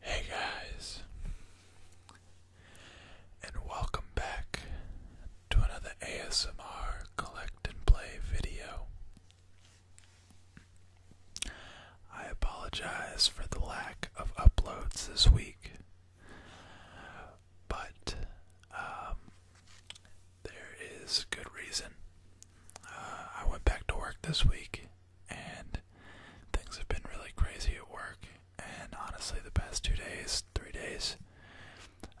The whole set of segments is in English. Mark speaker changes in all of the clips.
Speaker 1: Hey guys, and welcome back to another ASMR collect and play video. I apologize for the lack of uploads this week, but um, there is good reason. Uh, I went back to work this week and things have been really crazy at work. And honestly, the past two days, three days,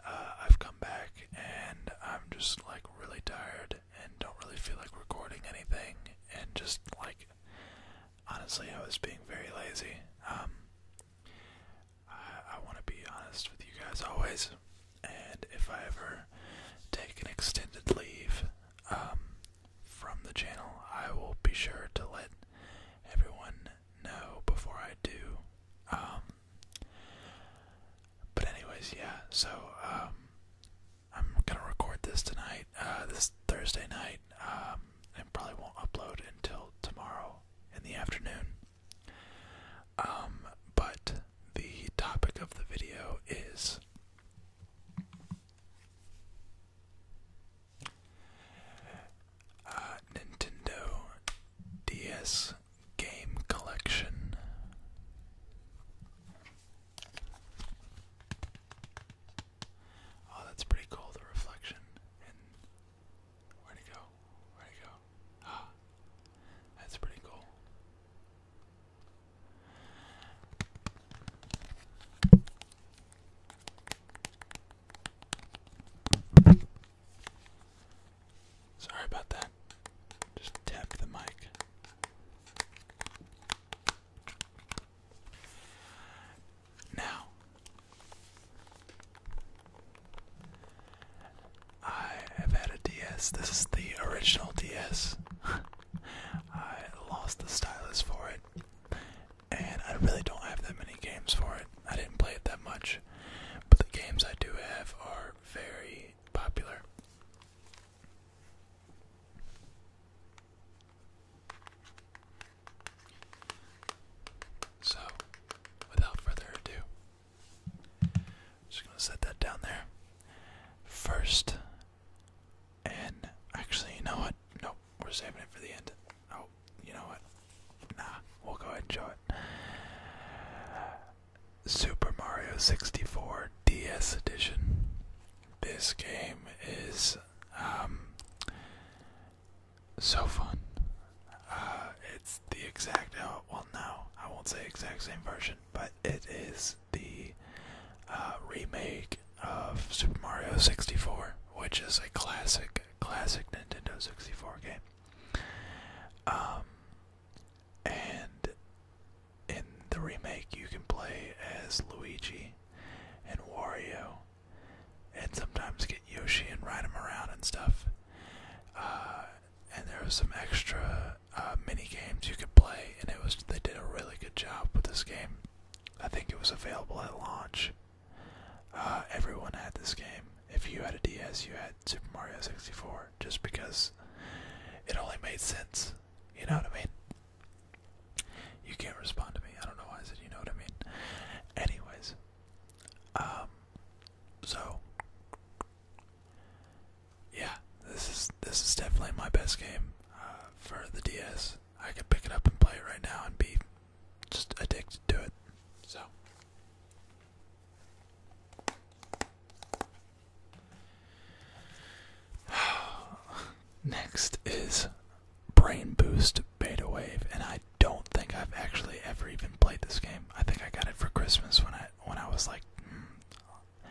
Speaker 1: uh, I've come back and I'm just like really tired and don't really feel like recording anything. And just like, honestly, I was being very lazy. Um, I want to be honest with you guys always and if I ever take an extended leave um, from the channel, I will be sure to let everyone know before I do. Um, but anyways, yeah. So um, I'm gonna record this tonight, uh, this Thursday night, um, and probably won't upload until tomorrow in the afternoon. Um, but the topic of the video is uh, Nintendo DS Game Collection. Oh, that's pretty cool, the reflection. where'd go? Where'd go? Ah, that's pretty cool. Sorry about that. Just tap the mic. Now, I have had a DS. This is the original DS. I lost the stylus for it, and I really don't have that many games for it. I didn't play it that much, but the games I do have are very popular. So, without further ado, just gonna set that down there first. And actually, you know what? Nope, we're saving it for the end. Oh, you know what? Nah, we'll go ahead and show it. Super Mario 64 DS Edition. This game is um, so fun. Uh, it's the exact uh, well no I won't say exact same version but it is the uh, remake of Super Mario 64 which is a classic classic Nintendo 64 game um, and in the remake you can play as Luigi and Wario and sometimes get Yoshi and ride him around and stuff. Uh, and there was some extra uh, mini games you could play, and it was they did a really good job with this game. I think it was available at launch. Uh, everyone had this game. If you had a DS, you had Super Mario 64, just because it only made sense. You know what I mean? You can't respond to me. I don't know why I said you know what I mean. Anyways, um, so yeah, this is this is definitely my best game uh, for the DS. I could pick it up and play it right now and be just addicted to it. So next is Brain Boost Beta Wave, and I don't think I've actually ever even played this game. I think I got it for Christmas when I when I was like, hmm,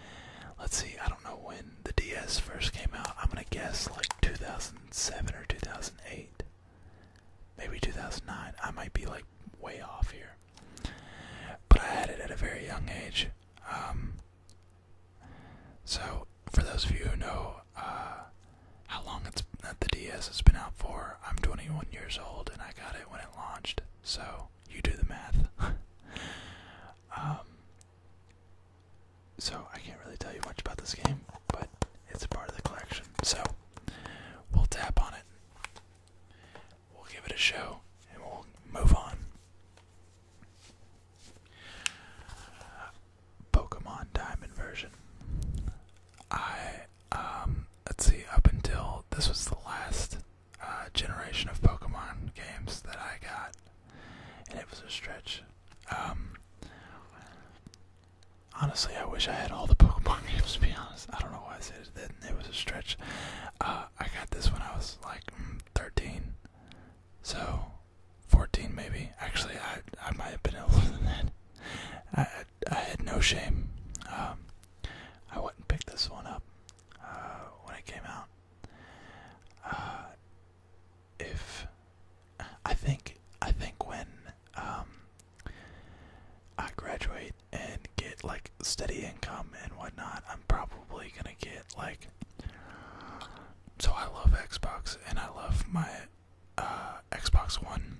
Speaker 1: let's see, I don't know when the DS first came out. I'm gonna guess like 2007 or 2008, maybe 2009. I might be like way off here, but I had it at a very young age. Um, so for those of you who know uh, how long it's that the DS has been out for, I'm 21 years old and I got it when it launched, so you do the math. Um, so I can't really tell you much about this game, but it's a part of the collection. So we'll tap on it, we'll give it a show, and we'll move on. Pokemon Diamond version. I um, let's see, up until this was the last uh, generation of Pokemon games that I got, and it was a stretch. Um, honestly, I wish I had all the Pokemon games, to be honest. I don't know why I said it, it was a stretch. Uh, I got this when I was like mm, 13, so 14 maybe. Actually, I, I might have been older than that. I had no shame. Um, I wouldn't pick this one up uh, when it came out. Uh, if I think I think when um, I graduate and get like steady income and whatnot, I'm probably gonna get like. So I love Xbox and I love my uh, Xbox One.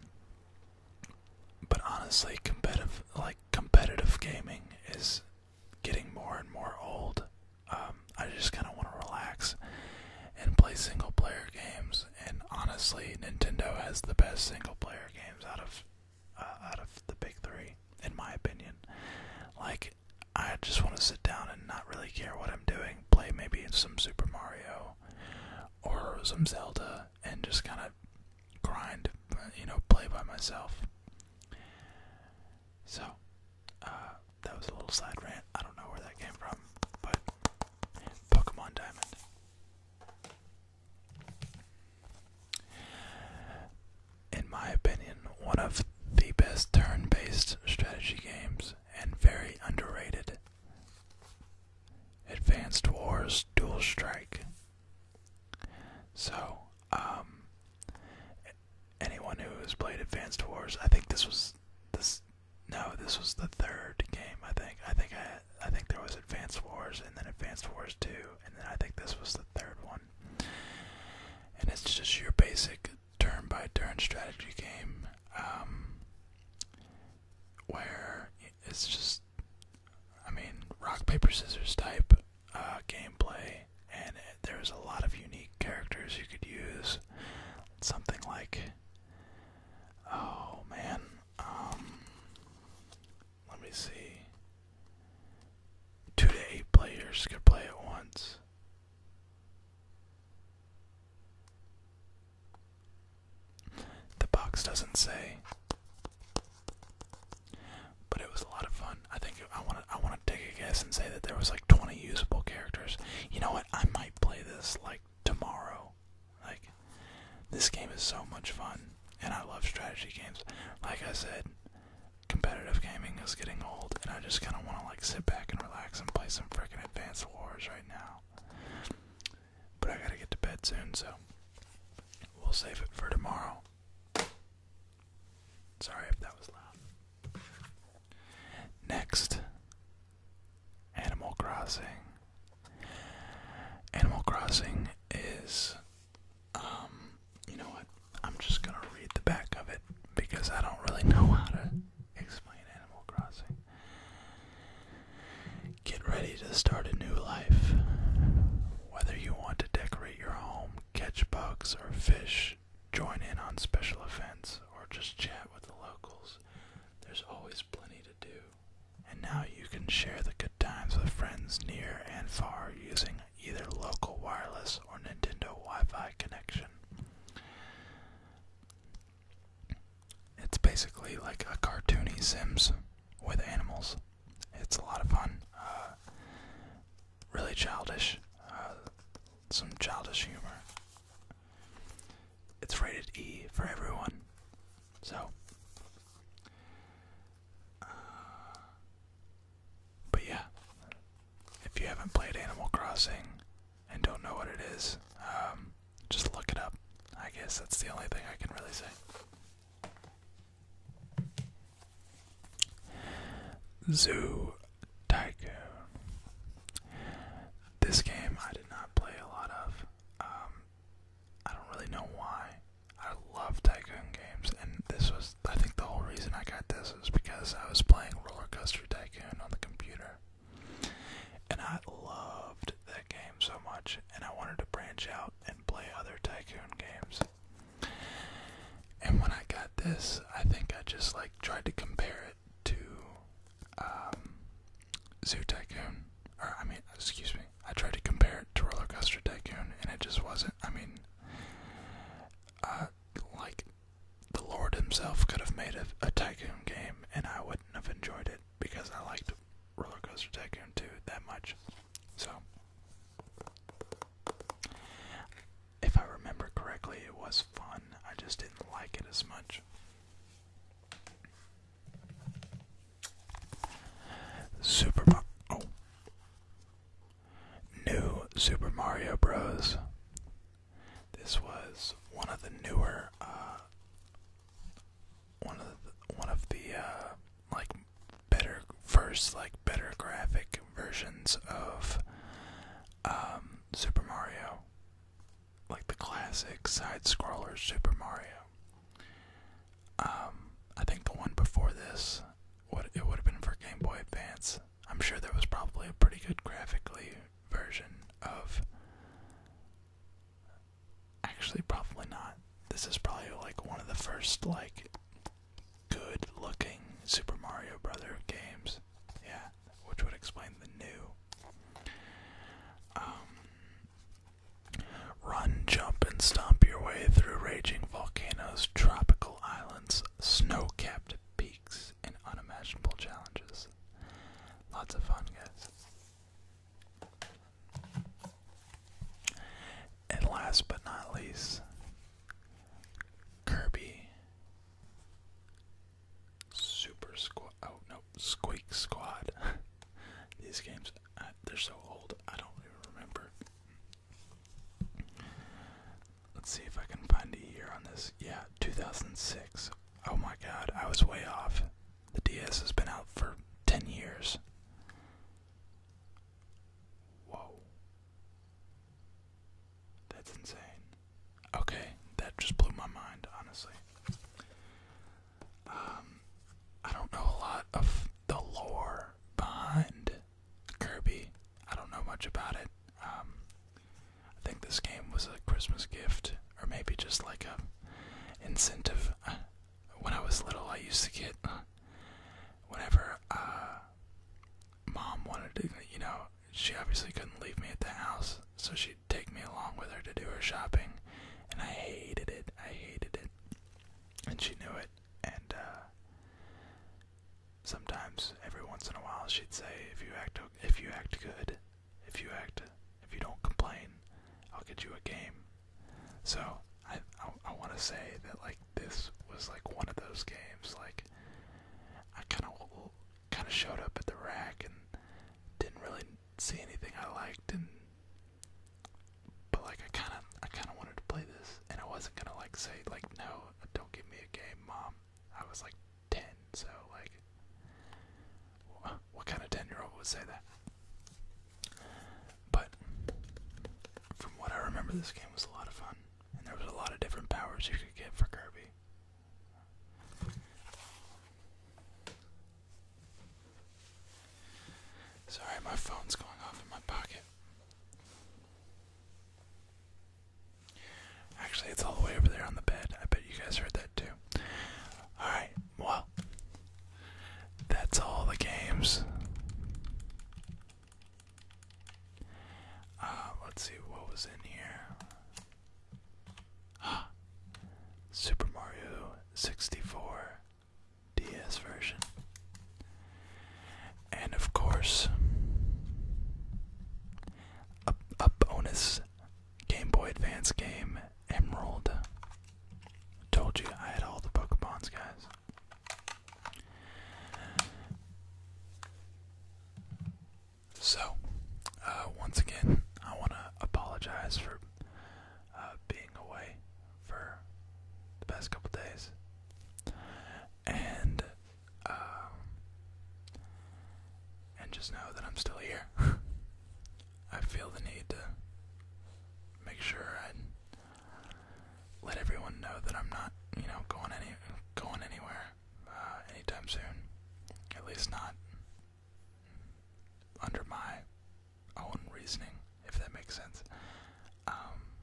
Speaker 1: But honestly, competitive like competitive gaming is getting more and more old. Um, I just kind of want to relax and play single player games. And honestly, Nintendo has the best single player games out of uh, out of the big three, in my opinion. Like, I just want to sit down and not really care what I'm doing. Play maybe some Super Mario or some Zelda and just kind of grind, uh, you know, play by myself. So, uh, that was a little side rant. I don't know where that came from, but Pokemon Diamond. In my opinion, one of the best turn based strategy games and very underrated. Advanced Wars Dual Strike. So, um, anyone who has played Advanced Wars, I think this was this. No, this was the third game. I think. I think I. I think there was Advanced Wars and then Advanced Wars Two, and then I think this was the third one. And it's just your basic turn-by-turn strategy game. Um, where it's just, I mean, rock, paper, scissors type uh, gameplay, and there's a lot of unique characters you could use. Something like, oh man, um, let me see. Two to eight players could play at once. The box doesn't say, but it was a lot of fun. I think I want to I want to take a guess and say that there was like 20 usable characters. You know what? I might play this like tomorrow. Like this game is so much fun, and I love strategy games. Like I said, competitive gaming is getting old, and I just kind of want to like sit back and relax and play some fricking Advanced Wars, right? now. But I gotta get to bed soon, so we'll save it for tomorrow. Sorry if that was loud. Next, Animal Crossing. Animal Crossing is, um, you know what? I'm just gonna read the back of it because I don't really know how to Explain Animal Crossing. Get ready to start a new life. Whether you want to decorate your home, catch bugs or fish, join in on special events, or just chat with the locals, there's always plenty to do. And now you can share the good times with friends near and far using either local wireless or Nintendo Wi Fi connection. It's basically like a cartoony Sims with animals. It's a lot of fun. Uh, really childish. Uh, some childish humor. It's rated E for everyone. So. Uh, but yeah, if you haven't played Animal Crossing and don't know what it is, um, just look it up. I guess that's the only thing I can really say. Zoo Tycoon. This game I did not play a lot of. Um, I don't really know why. I love Tycoon games, and this was, I think, the whole reason I got this was because I was playing Roller Coaster Tycoon Tycoon on the computer. And I loved that game so much, and I wanted to branch out and play other Tycoon games. And when I got this, I think I just like tried to compare it to um, Zoo Tycoon. Or, I mean, excuse me, I tried to compare it to Roller Coaster Tycoon, and it just wasn't. I mean, uh, like the Lord Himself could have made a, Tycoon game, and I wouldn't have enjoyed it because I liked Roller Coaster Tycoon 2 that much. So, if I remember correctly, it was fun. I just didn't like it as much. Super oh. New Super Mario Bros. This was one of the newer, uh, one of the, one of the uh, like better first like better graphic versions of um, Super Mario, like the classic side scroller Super Mario. Um, I think the one before this, what it would have been for Game Boy Advance. I'm sure there was probably a pretty good graphically version of. Actually, probably not. This is probably like one of the first like good looking Super Mario Brother games. Yeah, which would explain the new. Um, run, jump, and stomp your way through raging volcanoes, tropical islands, snow capped peaks, and unimaginable challenges. Lots of fun, guys. And last but not least, Kirby Super Squad. Oh no, Squeak Squad. These games, they're so old, I don't even remember. Let's see if I can find a year on this. Yeah, 2006. Oh my god, I was way off. The DS has been out for 10 years. Whoa. That's insane. Okay, that just blew my mind, honestly. Um, I don't know a lot of the lore behind Kirby. I don't know much about it. Um, I think this game was a Christmas gift, or maybe just like a incentive. When I was little, I used to get whenever uh, mom wanted to, you know, she obviously couldn't leave me at the house, so she'd take me along with her to do her shopping, and I hated it. I hated it, and she knew it, and uh, Sometimes, every once in a while, she'd say, "If you act, if you act good, if you act, if you don't complain, I'll get you a game." So I, I, want to say that like this was like one of those games. Like I kind of, kind of showed up at the rack and didn't really see anything I liked, and but like I kind of I kind of wanted to play this, and I wasn't gonna like say like no, don't give me a game, mom. I was like ten, so like, what kind of ten year old would say that? But from what I remember, this game was a lot of fun, and there was a lot of different powers you could get for Kirby. Sorry, my phone's going off in my pocket. Actually, it's all the way over there on the bed. I bet you guys heard that too. Alright, well, that's all the games. Uh, let's see what was in here. Super Mario 64. DS version. And of course, a, bonus Game Boy Advance game, Emerald. Told you I had all the Pokemons, guys. So, uh, once again, I want to apologize for uh, being away for the past couple days, and um, and just know that I'm still here. I feel the need to make sure I let everyone know that I'm not, you know, going any going anywhere uh, anytime soon. At least not under my own reasoning, if that makes sense. Um,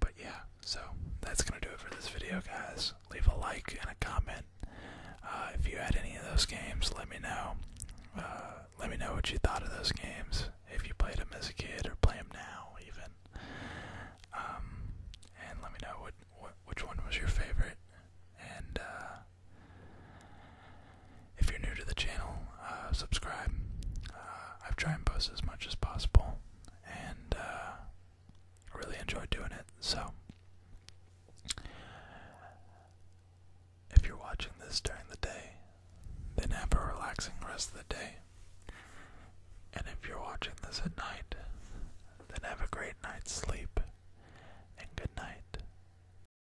Speaker 1: but yeah, so that's gonna do it for this video, guys. Leave a like and a comment. Uh, if you had any of those games, let me know. Uh, let me know what you thought of those games. If you played them as a kid or play them now, even. Um, and let me know which one was your favorite. And uh, if you're new to the channel, uh, subscribe. Uh, i try and post as much as possible, and uh, really enjoy doing it. So, if you're watching this during the day, then have a relaxing rest of the day. And if you're watching this at night, then have a great night's sleep and good night.